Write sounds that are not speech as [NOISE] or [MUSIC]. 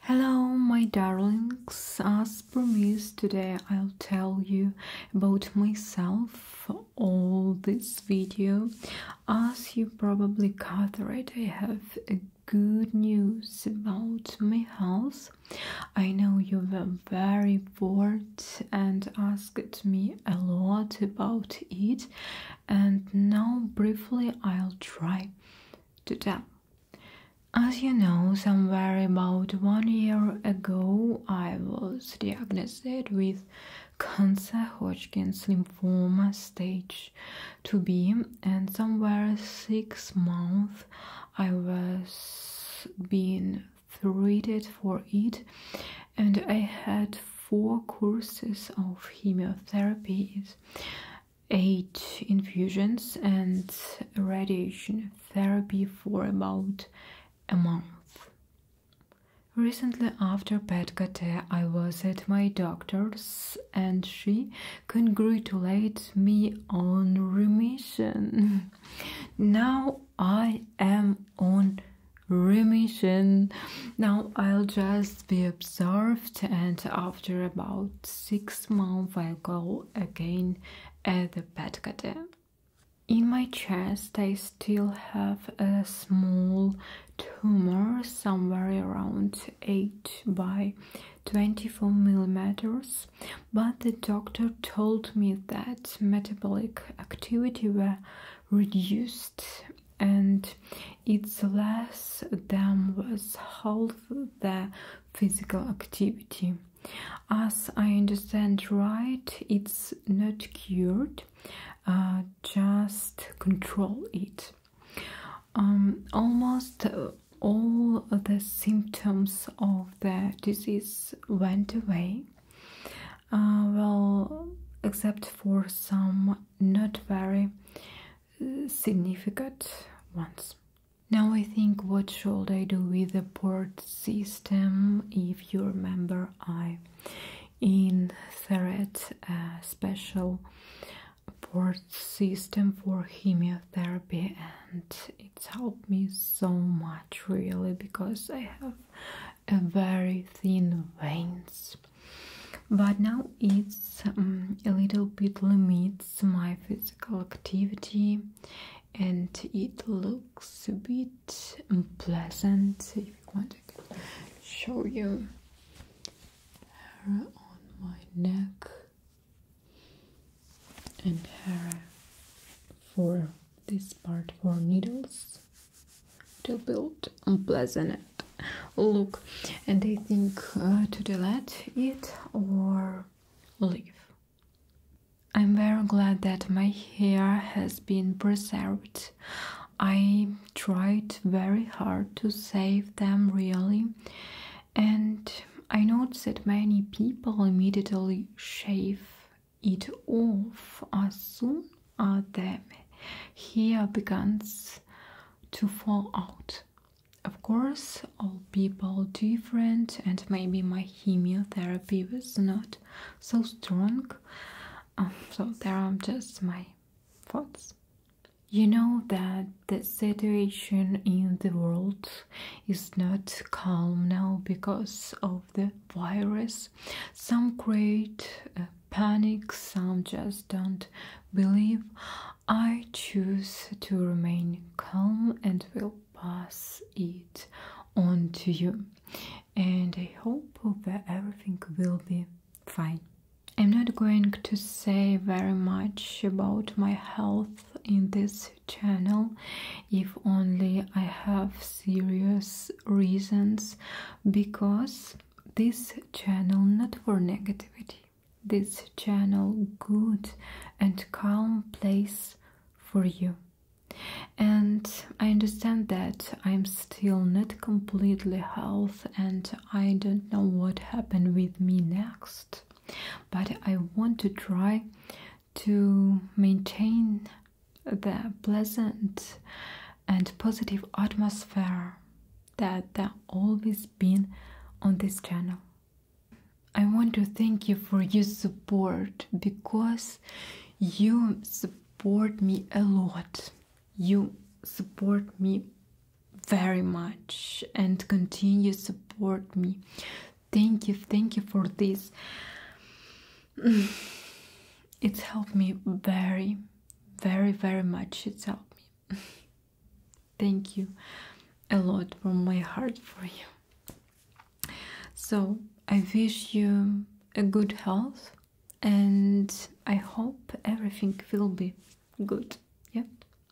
Hello, my darlings. As promised, today I'll tell you about myself all this video. As you probably gathered, I have good news about my health. I know you were very bored and asked me a lot about it, and now briefly I'll try to them. As you know, somewhere about one year ago, I was diagnosed with cancer Hodgkin's lymphoma stage 2b, and somewhere six months I was being treated for it, and I had four courses of chemotherapy eight infusions and radiation therapy for about a month. Recently, after pet Petgate, I was at my doctor's and she congratulated me on remission. [LAUGHS] now I am on remission. Now I'll just be observed, and after about six months, I'll go again at the pet In my chest, I still have a small tumor somewhere around 8 by 24 millimeters, but the doctor told me that metabolic activity were reduced and its less than was half the physical activity. As I understand right, it's not cured, uh, just control it. Um, almost all the symptoms of the disease went away, uh, well except for some not very uh, significant ones now i think what should i do with the port system if you remember i in thread special port system for chemotherapy and it's helped me so much really because i have very thin veins but now it's um, a little bit limits my physical activity and it looks a bit unpleasant if you want I can show you hair on my neck and hair for this part for needles to will build unpleasant look and I think uh, to delete it or leave I'm very glad that my hair has been preserved I tried very hard to save them really and I noticed that many people immediately shave it off as soon as the hair begins to fall out. Of course, all people different, and maybe my chemotherapy was not so strong. Um, so there are just my thoughts. You know that the situation in the world is not calm now because of the virus. Some create uh, panic, some just don't believe. I choose to remain calm and will pass it on to you. And I hope that everything will be fine. I'm not going to say very much about my health in this channel if only I have serious reasons because this channel not for negativity this channel good and calm place for you and I understand that I'm still not completely health and I don't know what happened with me next but I want to try to maintain the pleasant and positive atmosphere that has always been on this channel. I want to thank you for your support because you support me a lot. You support me very much and continue support me. Thank you, thank you for this. [SIGHS] It's helped me very, very, very much. It's helped me. [LAUGHS] thank you a lot from my heart for you. So I wish you a good health and I hope everything will be good. Yeah.